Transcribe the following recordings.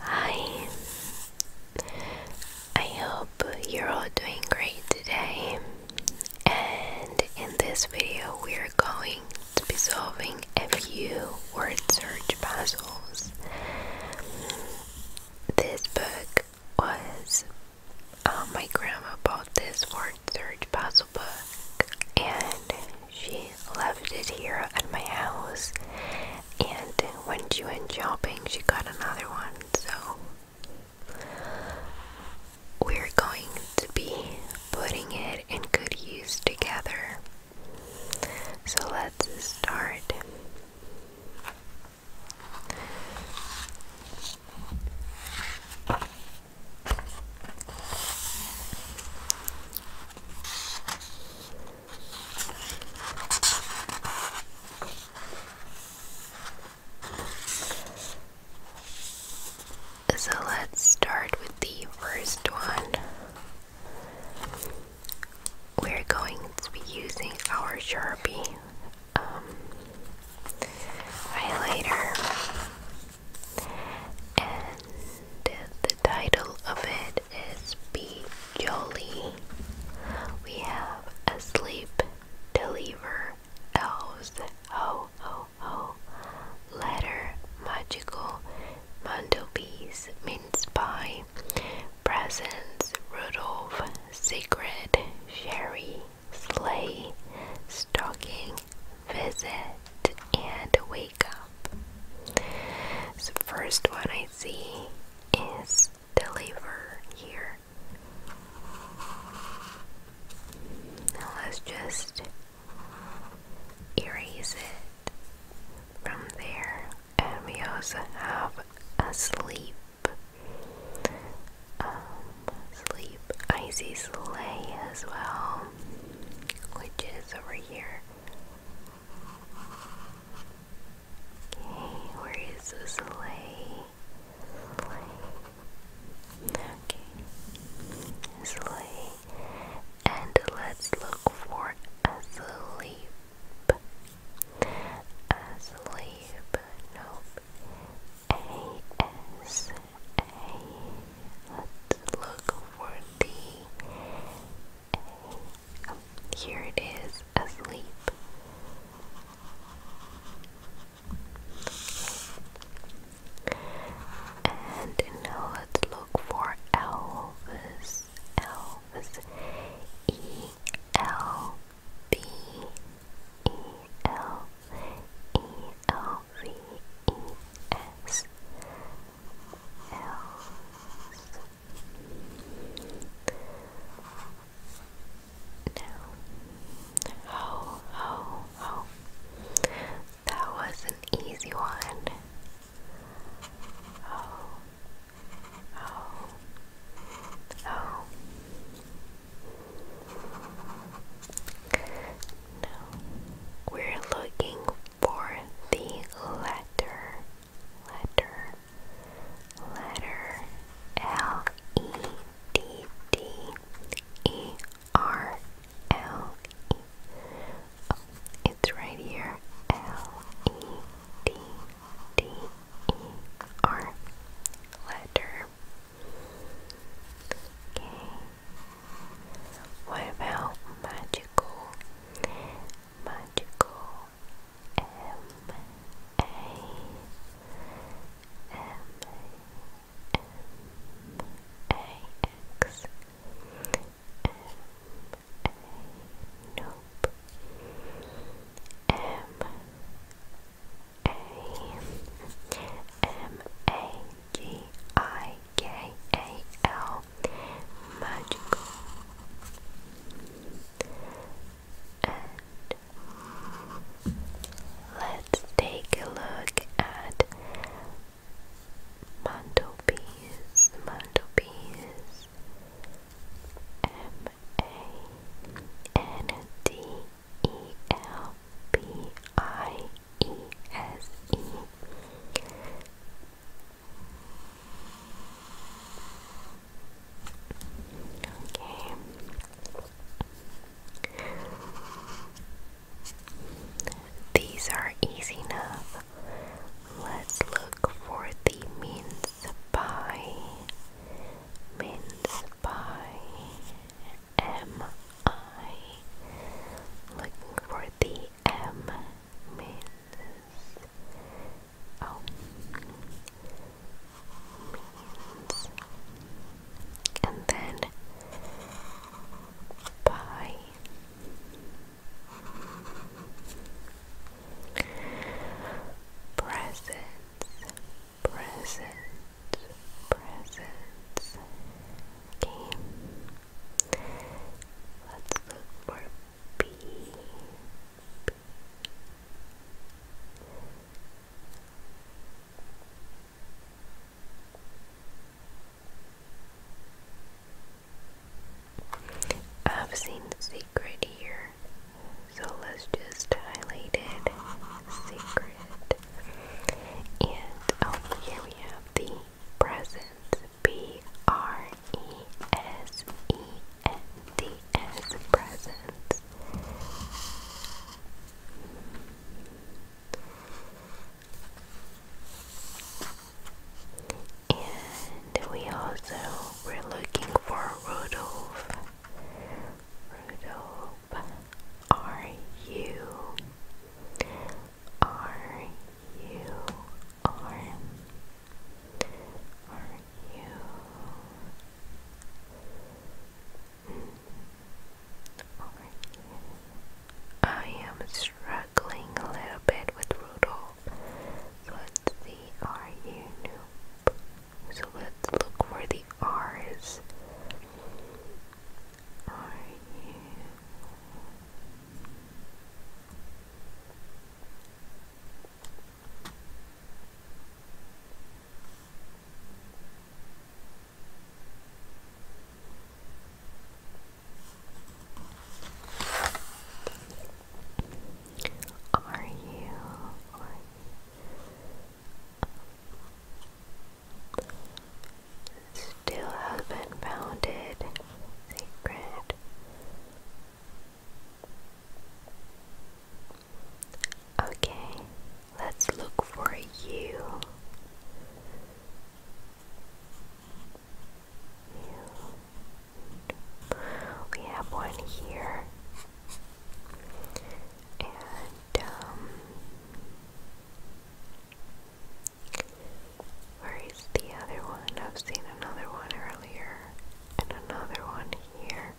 Hi, I hope you're all doing great today. And in this video, we're going to be solving a few word search puzzles. This book was uh, my grandma bought this word search puzzle book, and she left it here at my house, and when she went shopping, she got another one. So, we're going to be putting it in good use together. So, let's start. So let's start with the first one. We're going to be using our Sharpie um, highlighter, the title of it is Be Jolly. We have a sleep deliver elves ho ho ho letter magical mantelpiece mince pie presents Rudolph secret sherry sleigh stocking visit out and wake up. The first one I see is the liver here. Now let's just erase it from there. And we also have a sleep. Um, icy sleigh as well, which is over here. Okay, where is the sleigh? Okay, sleigh. And let's look for asleep. Asleep. Nope. A S A. Let's look for the here it is, asleep. And now let's look for Elvis. Elvis. E L B E L E L V E S else. Now, ho, ho, ho. That was an easy one. Oh, oh, oh. Now, we're looking for the letter, letter, letter L E D D E R L E. it's right here. L E D D E R letter. Okay. What magical? Magical M A M A M A X M A magical and let's take a look at mantelpiece mantelpiece M A N D E L P I E S E Okay. These are easy enough. Let's look for the mince pie. Mince pie. M I. Looking for the M means oh means and then by presents presents presents okay let's look for i B. I've seen secret here, so let's just highlight it. Secret. And oh, here we have the presents. B R E-S-E-N-D-S presents. And we also were looking for Rudolph. Rudolph, R-U Mm. I am struggling a little bit with Rudo, So let's you nope? So let's look for the R's. Are you? Are you? Still has been founded. Secret Okay, let's look for you. We have one here. And um where is the other one? I've seen another one earlier. And another one here.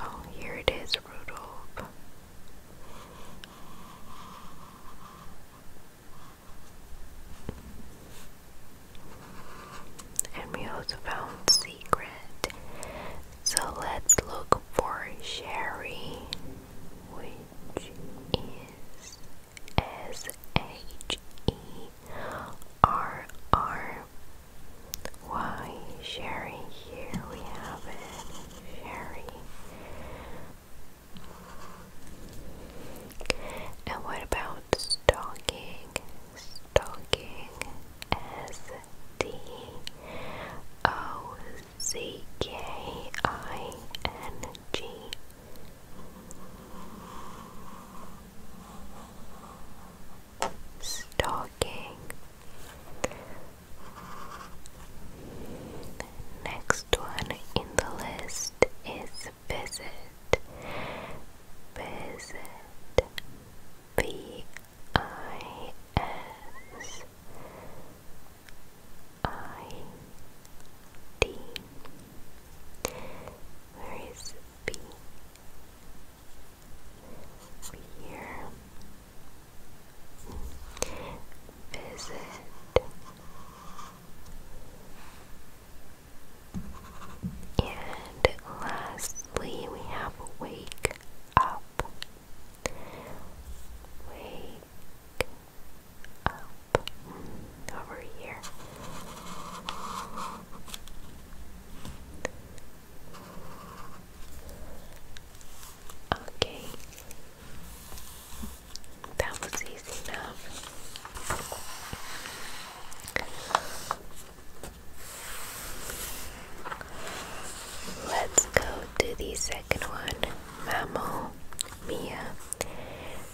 Oh, here it is, Rudolph. And we also found secret. So let's look for Sherry, which is S H E R R Y Sherry. Here we have it, Sherry. And what about stalking? Stalking S D O C K I N G Stalking. Next one in the list is visit. Visit. B I S I D where is B? B here. Visit. And lastly, we have wake up. Wake up over here. Okay, that was easy enough. Let's go to the second one. Mammal, Mia,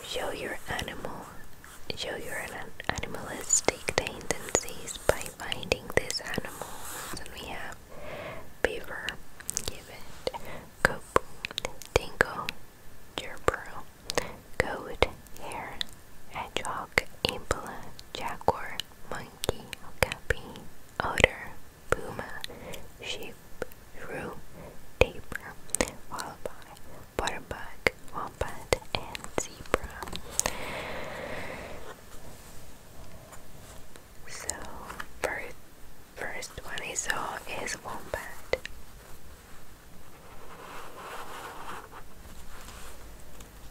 show your animal Show your animalistic tendencies by finding these animals. And we have beaver, gibbet, cope, dingo, gerbero, goat, hare, hedgehog, impala, jaguar, monkey, okapi, otter, puma, sheep, shrew, tapir, wallaby, waterbug, wombat, and zebra. So, first, first one I saw is wombat.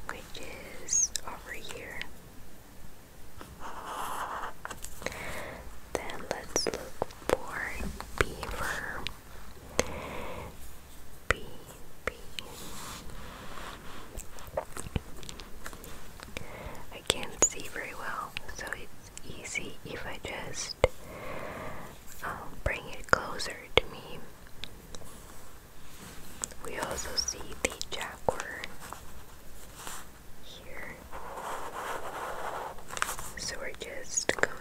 Which is over here. Then let's look for beaver. B B. I can't see very well, so it's easy if I just um, bring it closer to me. We also see the jaguar here, so we're just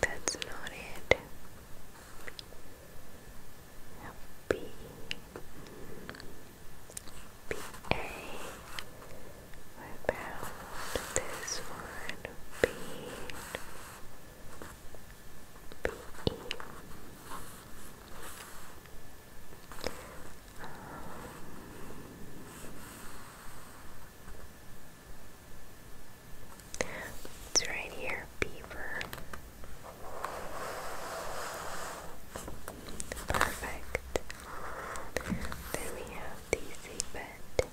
That's not it. B. B. A. What this one? B. B. E. It's right here, beaver. Perfect. Then we have DC Bed.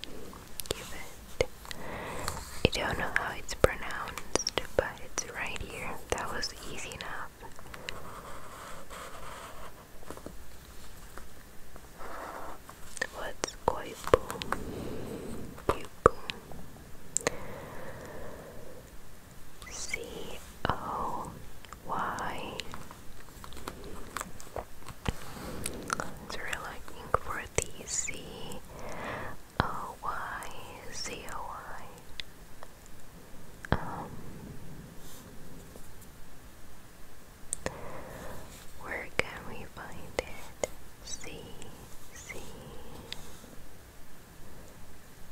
Give it. I don't know how it's pronounced, but it's right here. That was easy enough. What's koipu? Pupu. C O Y. It's really looking for the C O Y C O Y. Um, where can we find it? C, C,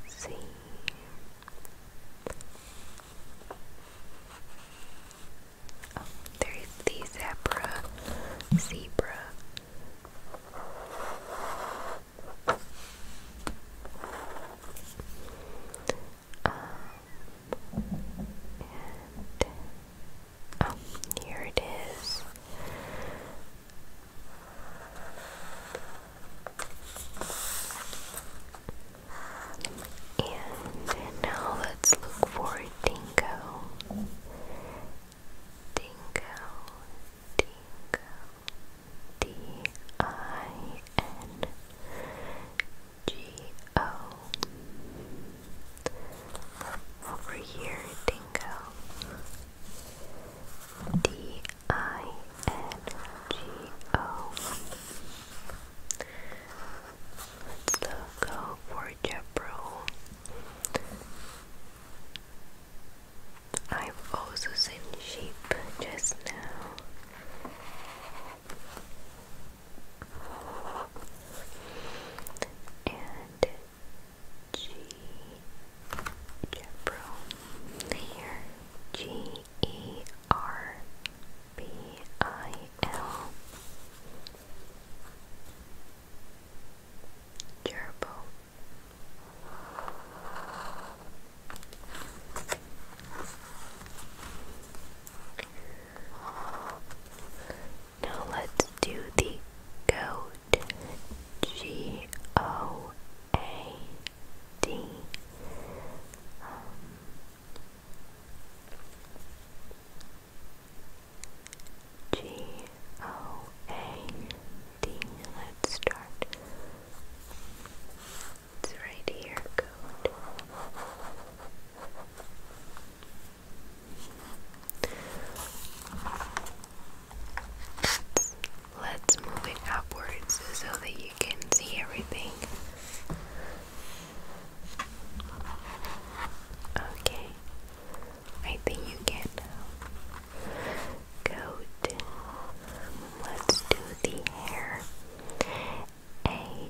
C. Oh, there's the zebra, zebra. Um, and here it is. And now let's look for dingo. Dingo, dingo, D I N G O. Over here, dingo. D I N G O. Let's go for Jabro. I've also seen sheep just now and G Gebro here G E R B I L now let's do the goat. G O A D. O A D. Let's start. It's right here, goat. Let's move it upwards so that you can see everything. Okay, I think you can go Let's do the hair. A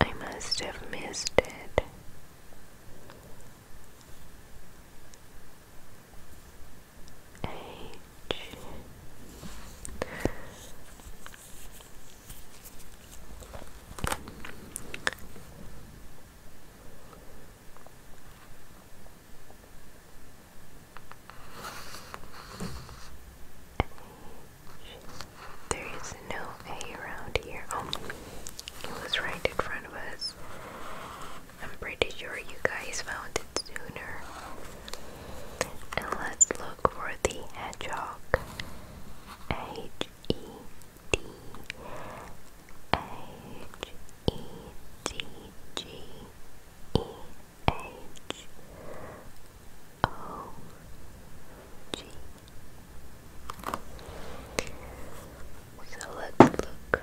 I must have missed it. H. There is no Hey, around here. Oh, it was right in front of us. I'm pretty sure you guys found it sooner. And let's look for the hedgehog. H E D H E D G E H O G so let's look.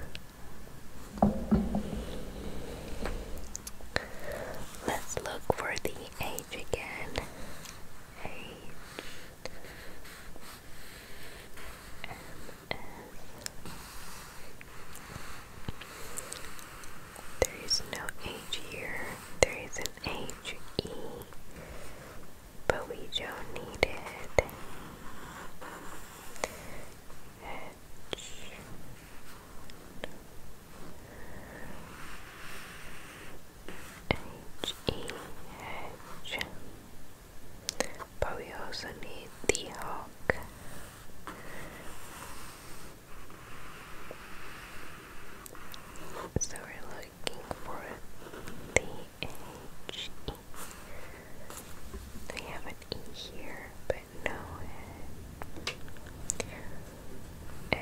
Let's look for the age again. Age. There is no age here. There is an age E but we don't need it. H E H. But we also need the hawk. So we're looking for the H E. We have an E here, but no H. H, H. H E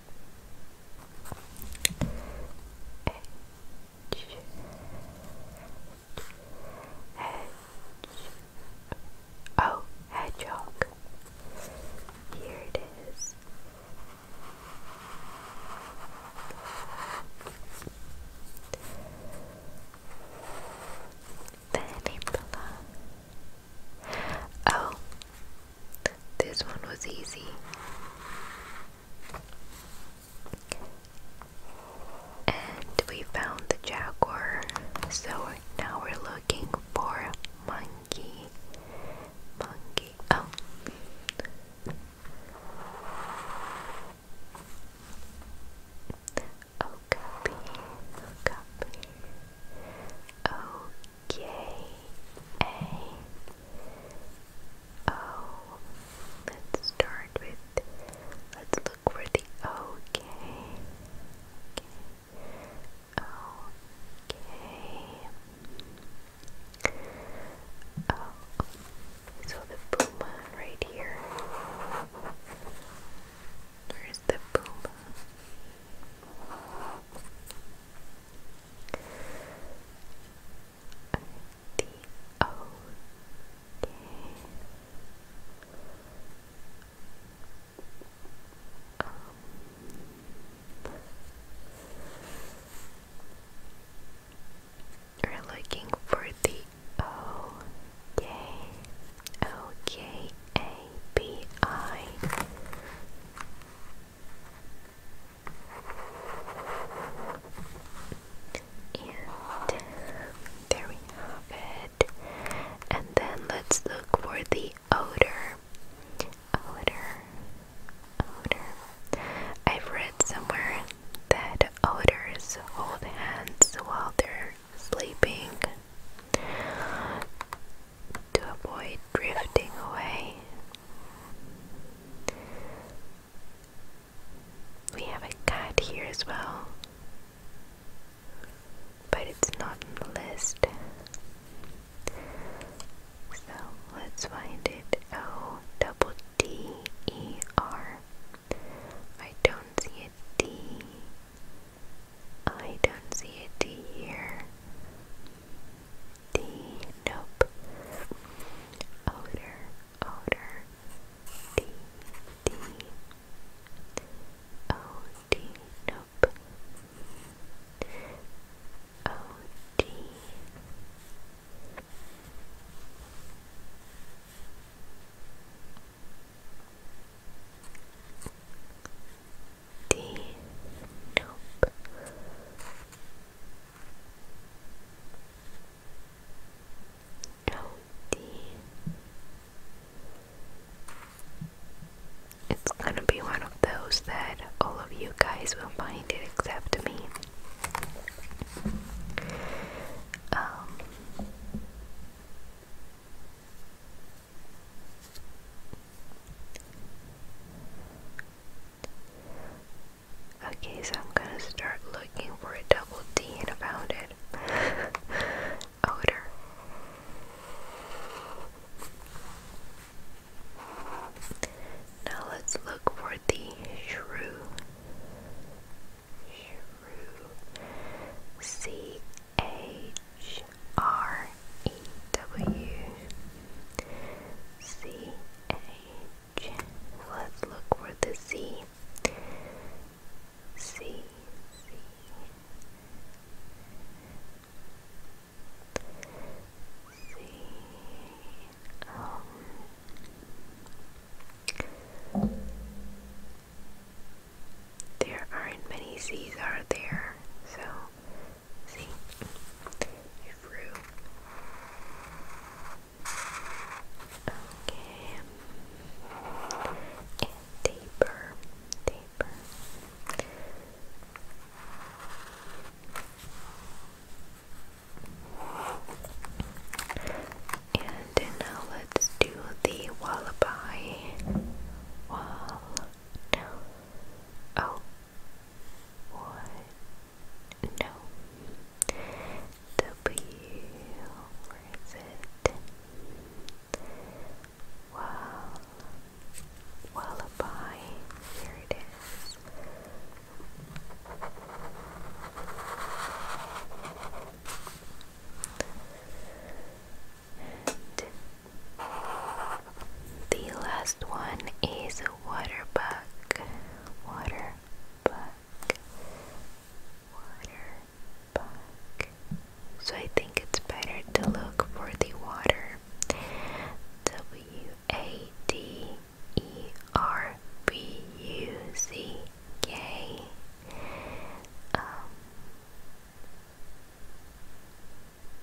edge, edge. Oh, hedgehog. Here it is. The Oh, this one was easy. And we found the jaguar. So now we're looking for monkey. Monkey. Oh. Oh, copy. Oh, K A O. Let's start with, let's look for the O K. Oh, so the puma right here. Where's the puma? the O K we're looking for the O K O K A B I and there we have it. And then let's look for the odor. Odor. Odor. I've read somewhere that odors hold hands while they're sleeping to avoid drifting away. We have a cat here as well, but it's not on the list. So let's find it. O double D E R. I don't see a D. I don't see a D here. D. Nope. Odor. Odor. D. D. O. D. Nope. O. D. D. Nope. Oh dear. It's gonna be one of those that all of you guys will find it except me. Um, Okay, so I'm gonna start looking for a double D and a found it. Odor. Now let's look for the shrew. Shrew. C H R E W C H. Let's look for the C. C C. Um, there aren't many C's are there, so See? I Okay. And uh, taper. And now let's do the wallaby. Oh, what? No. W. Where is it? Well, Wallaby. Here it is. The last one is water bug. Water So I think it's better to look for the water. W A D E R B U C K. Um,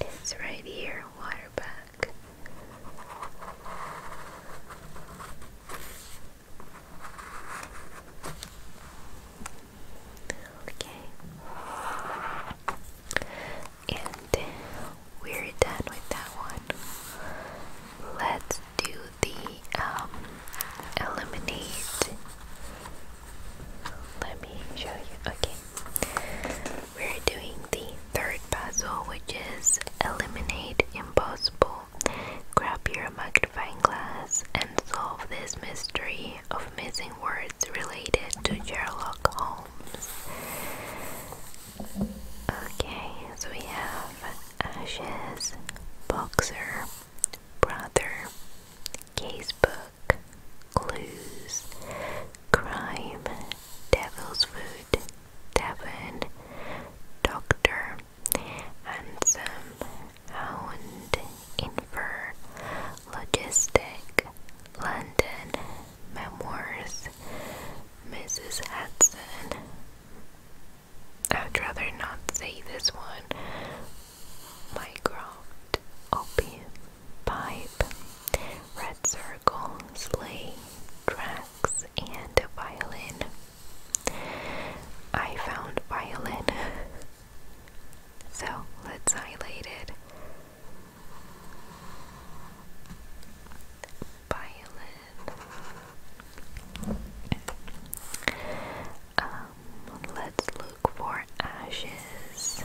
It's right here, water bag. Okay. And we're done with that one. Let's do the um let me show you. Okay. We're doing the third puzzle, which is eliminate impossible. Grab your magnifying glass and solve this mystery of missing words related to Sherlock Holmes. Okay, so we have ashes, boxer, brother, casebook, clues, crime, devil's food, Devon, doctor, handsome, hound, infer, logistic, London, memoirs, Mrs. Hudson. I'd rather not say this one. Minecraft, opium, pipe, red circles, sleigh, tracks, and a violin. I found violin. so let's highlight it. Violin. Um, let's look for ashes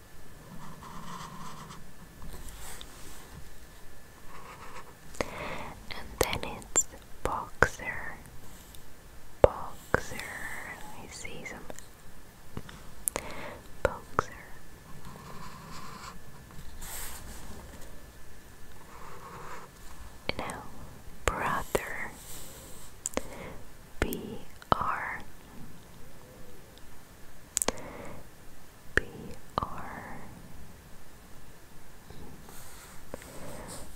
and then it's boxer. Boxer. I see some boxer. Now, brother. B R B R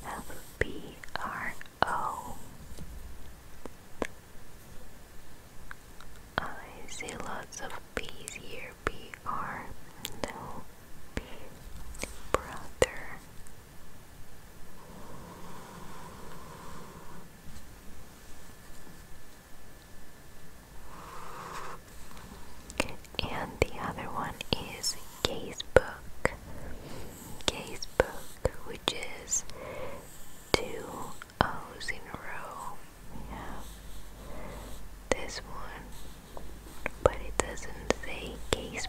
F B R O I see lots of B's here. B R no B brother. And the other one is gaze book. which is two O's in a row. This one. But it doesn't say gaze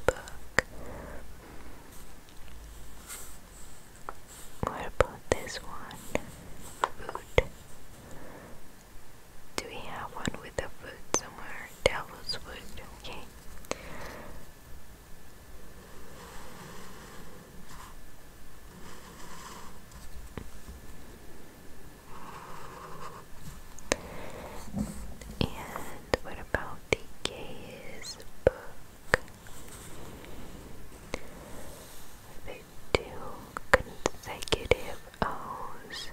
what about this one? Food. Do we have one with the food somewhere? Devil's wood. Okay. And what about the gaze book? two consecutive O's.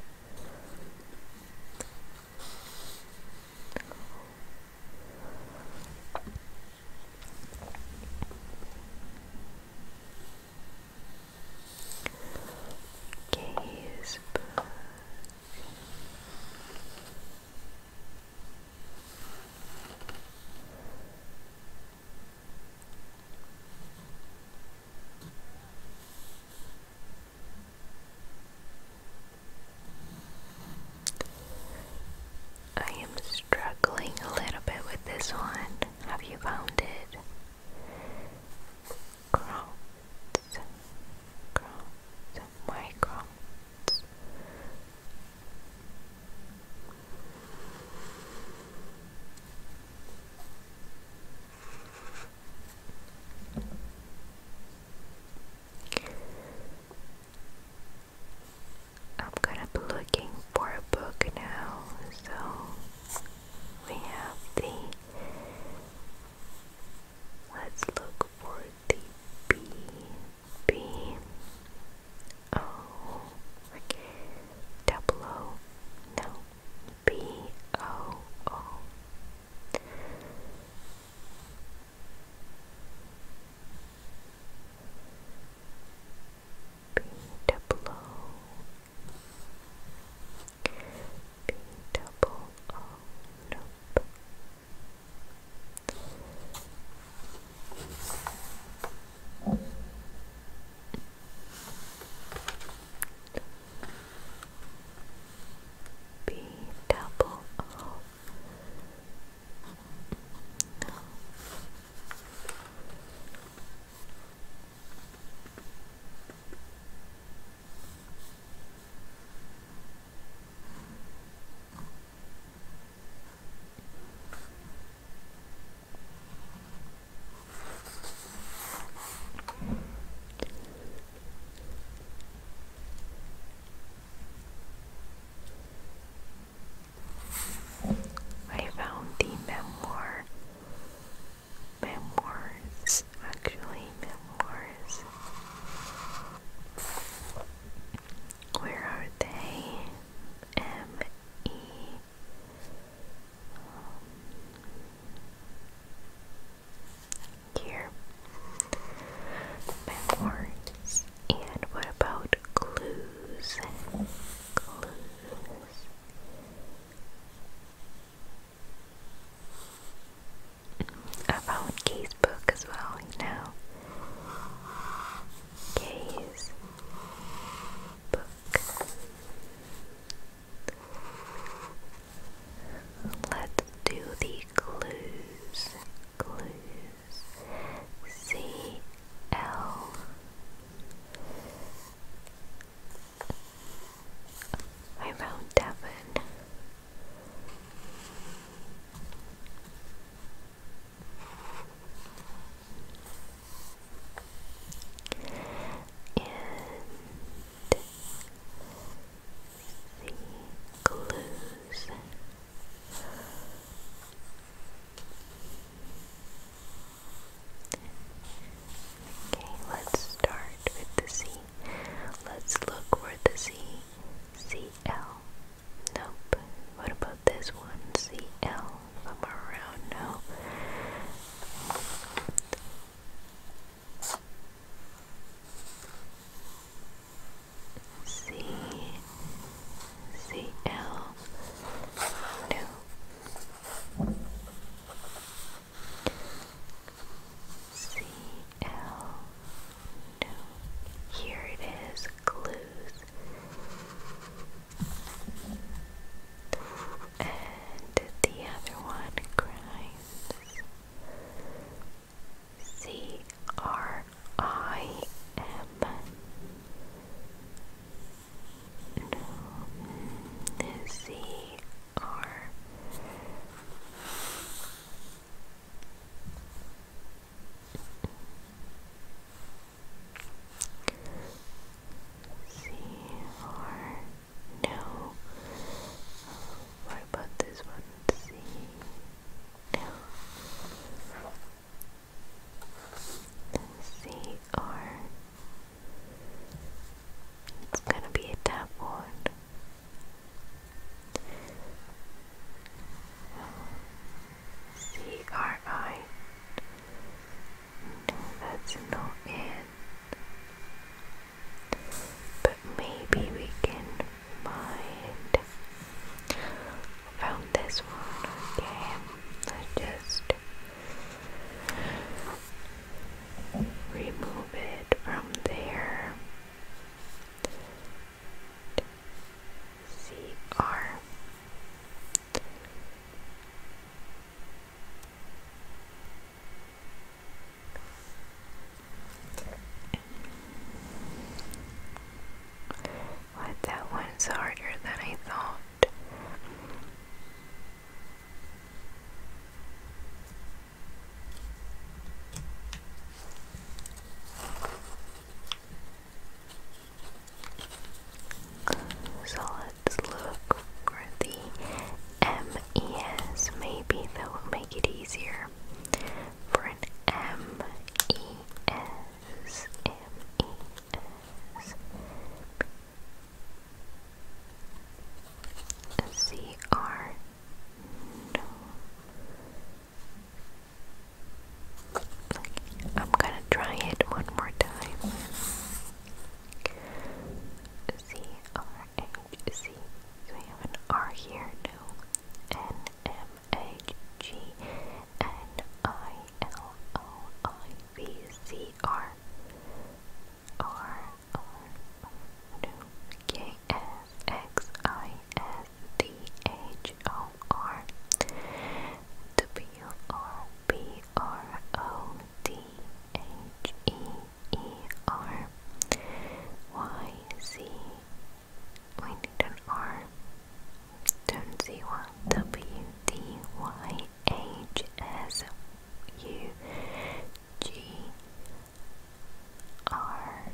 Gaze I am struggling a little bit with this one. Have you found it? Crowds, crowds, my crowds, I'm gonna be looking for a book now, so we have the let's look for the B B O oh, double O no B O O B double O B double O nope. B double I found the memoir memoirs, actually memoirs. Where are they? M E um, here, memoirs. And what about clues? Clues. I found Kay's book as well, you know book. Let's do the clues. Clues. C L I found Devon and Okay, let's start with the C. Let's look for the C. C L. Nope. What about this one? C L them around now. C C L no C L no here it is clues and the other one cries C R I M. No, C R. C R no. What about this one? C R. It's gonna be a tap one. C R I that's not it. But maybe we can find. Found this one. Okay, let just remove it from there. C R that one's harder than I thought. So let's look for the MES. Maybe that will make it easier. For an MES. MES. CR. No. Okay, I'm gonna try it one more time. C R H C. So we have an R here, no. N M H G N I L O I V C R R R no K S X I S D H O R W U R B R O D H E E R Y Z. We need an R. Don't see why. W D Y H S U G R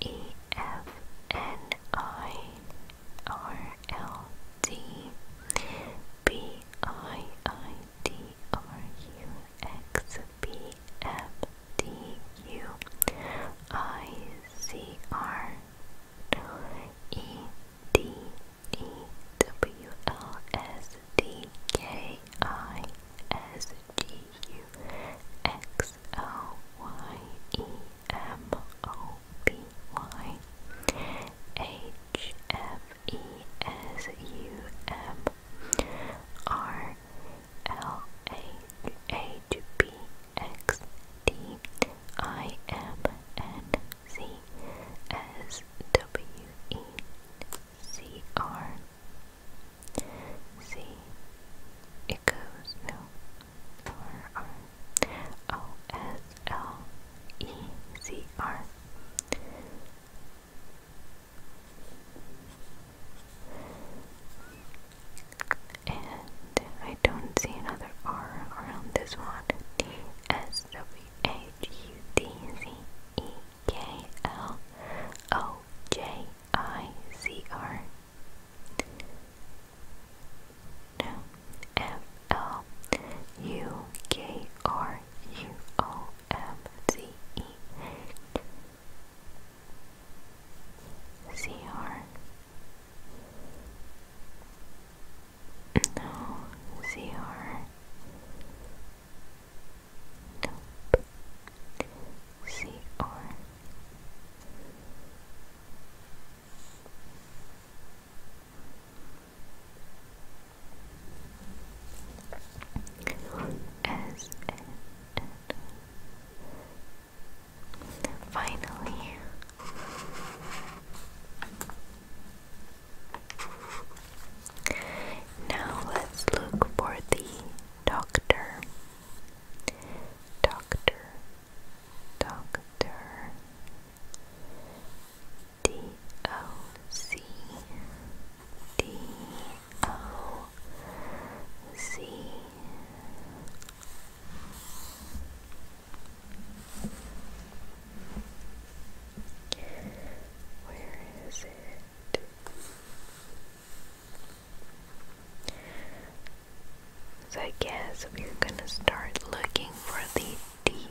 E F N I R L D B I I D R U X B F D U I C R E D E W L S D K I S G U X L Y E M O B Y H F E S U M R L H H B X D I M N Z S W E C R C. It goes no. R R O S L E C R. And I don't see another R around this one. T S W H U D Z E K L O J I C R. F L U K R U O M Z E C R No C R Nope C R S N N. Finally. Now let's look for the doctor. Doctor. Doctor. D O C D O C Where is it? So I guess we're gonna start looking for the D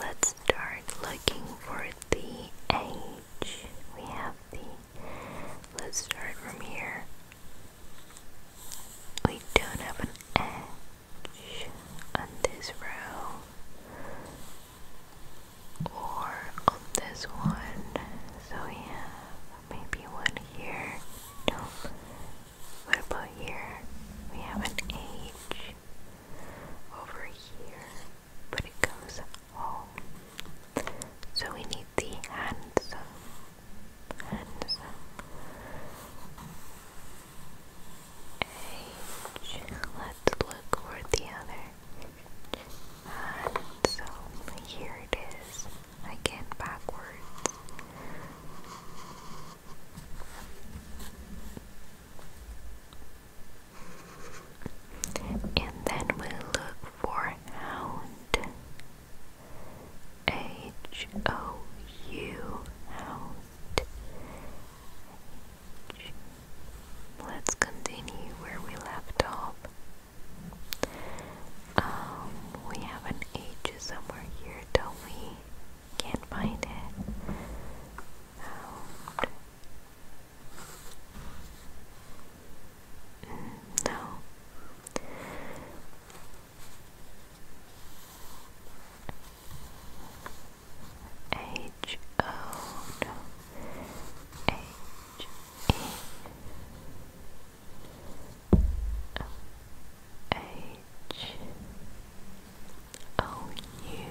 let's start looking for the age. We have the, let's start from here. We don't have an edge on this row or on this one, so we have maybe one here. No, what about here? We have an H over here, but it goes home. So we need the handsome. Handsome. H. Let's look for the other. Handsome. Here it is. Again, backwards. And then we look for H O U hound. Let's continue where we left off. Um, we have an H somewhere here, don't we? Can't find it. Mm, no. H O Oh, O U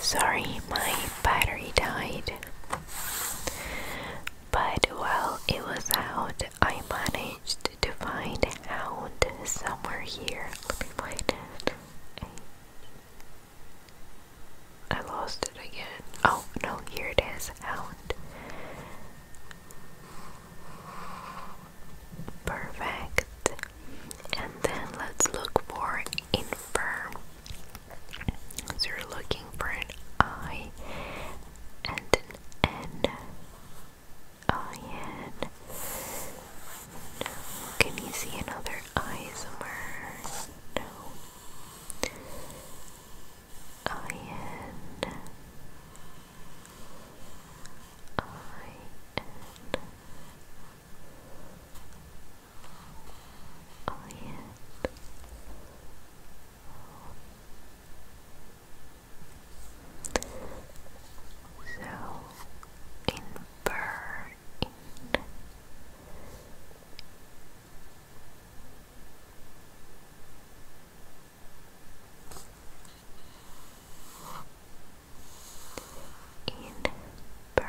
Sorry, my battery died. But while it was out, I managed to find out somewhere here. Let me find it. I lost it again. Oh no, here it is. Out. Perfect. And then let's look for infirm so you're looking for an I and N. I N. Can you see another I somewhere? No. I N. I N. I Oh yeah. So in burn in burn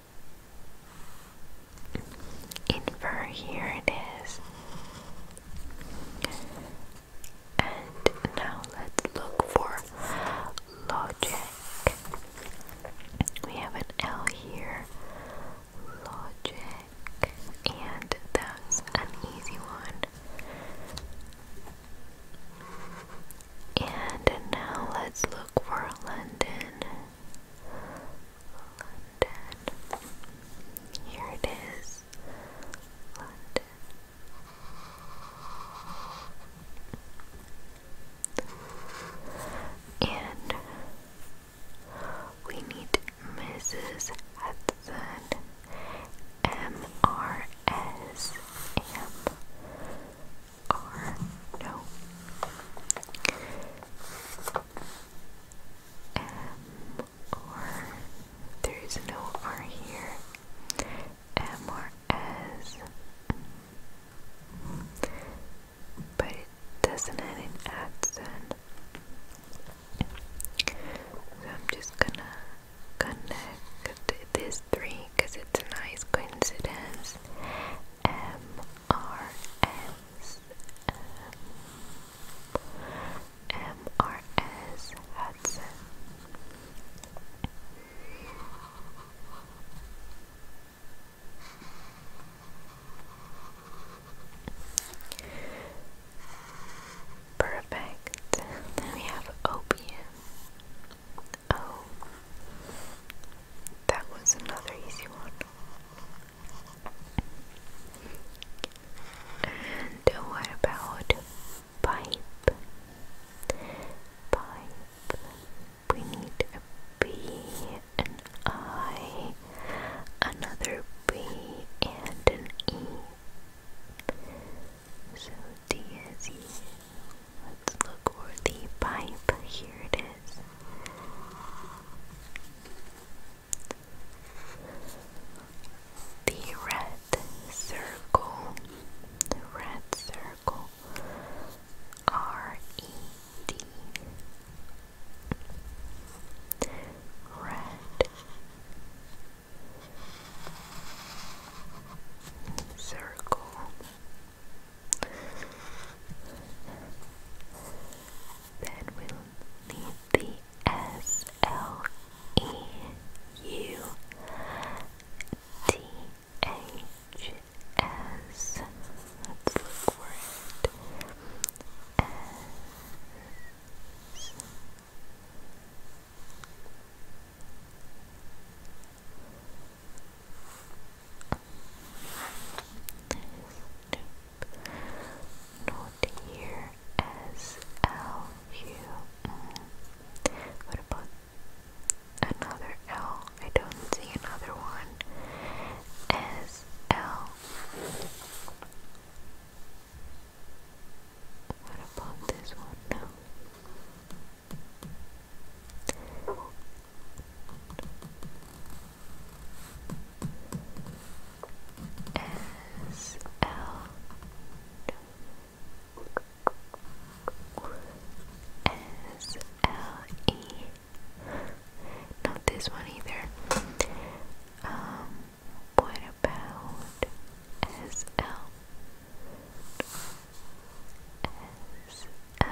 Infer here it is. And now let's look for logic. We have an L here. Logic. And that's an easy one. And now let's look for London. London. Here it is. London. And we need Mrs. Hudson. M R S M R no M or there is no R here. M or S. But it doesn't have an accent. So I'm just gonna connect these three because it's a nice coincidence. R S M R S Hudson. Perfect. Then we have opium. Oh, that was another easy one. And what about pipe? Pipe. We need a B, an I, another B, and an E. So D Let's look for the pipe. Here it is. The red circle, the red circle, R E D, red circle. Then we'll need the S L E U T H S. Let's look for it. Snoop. Not here. S L U. -M. What about another L? I don't see another one. S L. What about this one? No. S L S L E. Not this one either. Um, about S L? S L.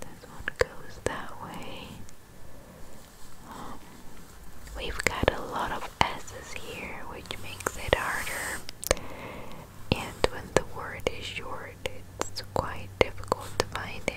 This one goes that way. Um, we've got a lot of S's here, which makes it harder. And when the word is short, it's quite difficult to find it.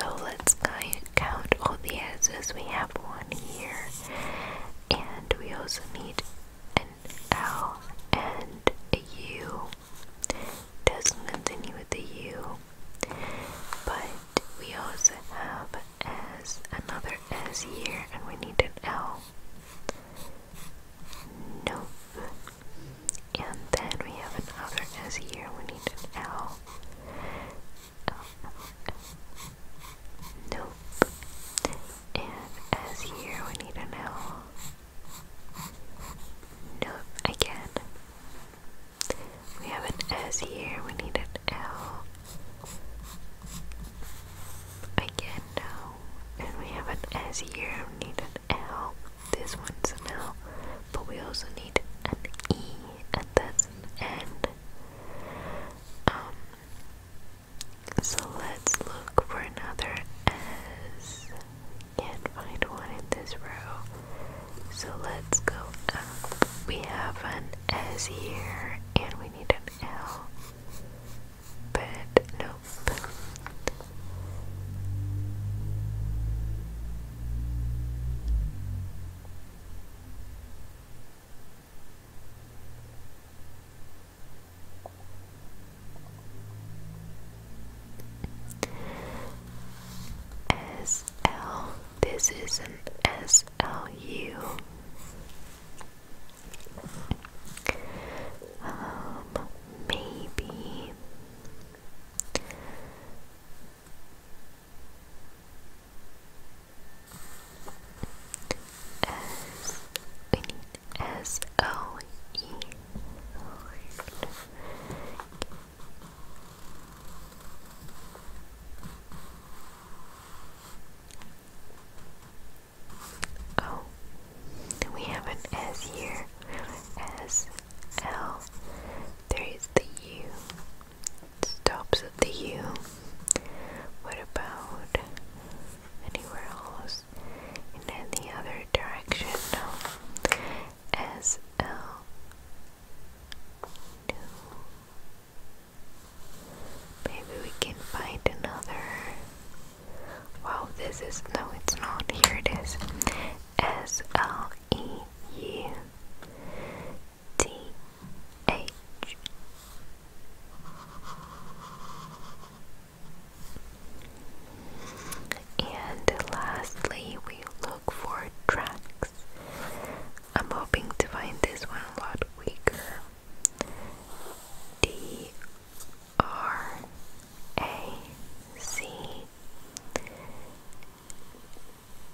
So let's count all the S's. We have one here, and we also need an L and a U. Doesn't continue with the U, but we also have S, another S here, and we need an L. Nope. And then we have another S here, we need an L. Nope. And as here, we need an L. Nope, again. We have an S here, we need an L. Again, no. And we have an S here, we need an L. This one's an L, but we also need an E, and that's and um so let's look for another S. Can't find one in this row. So let's go up. We have an S here and we need an L. But nope. SL. This is an SLU. Um, maybe S we need S O E we have an S here. S L. There is the U stops at the U. What about anywhere else? In any other direction? No. S L. Maybe we can find another. Wow, this is no, it's not. Here it is. S L E U. T H and lastly we look for tracks. I'm hoping to find this one a lot weaker. D R A C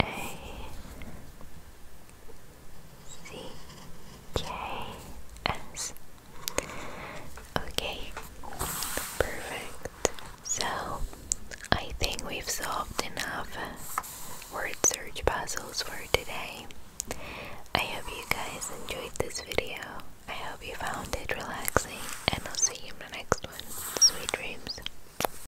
a C K S. Okay, perfect. So I think we've solved enough word search puzzles for today. I hope you guys enjoyed this video. I hope you found it relaxing, and I'll see you in the next one. Sweet dreams.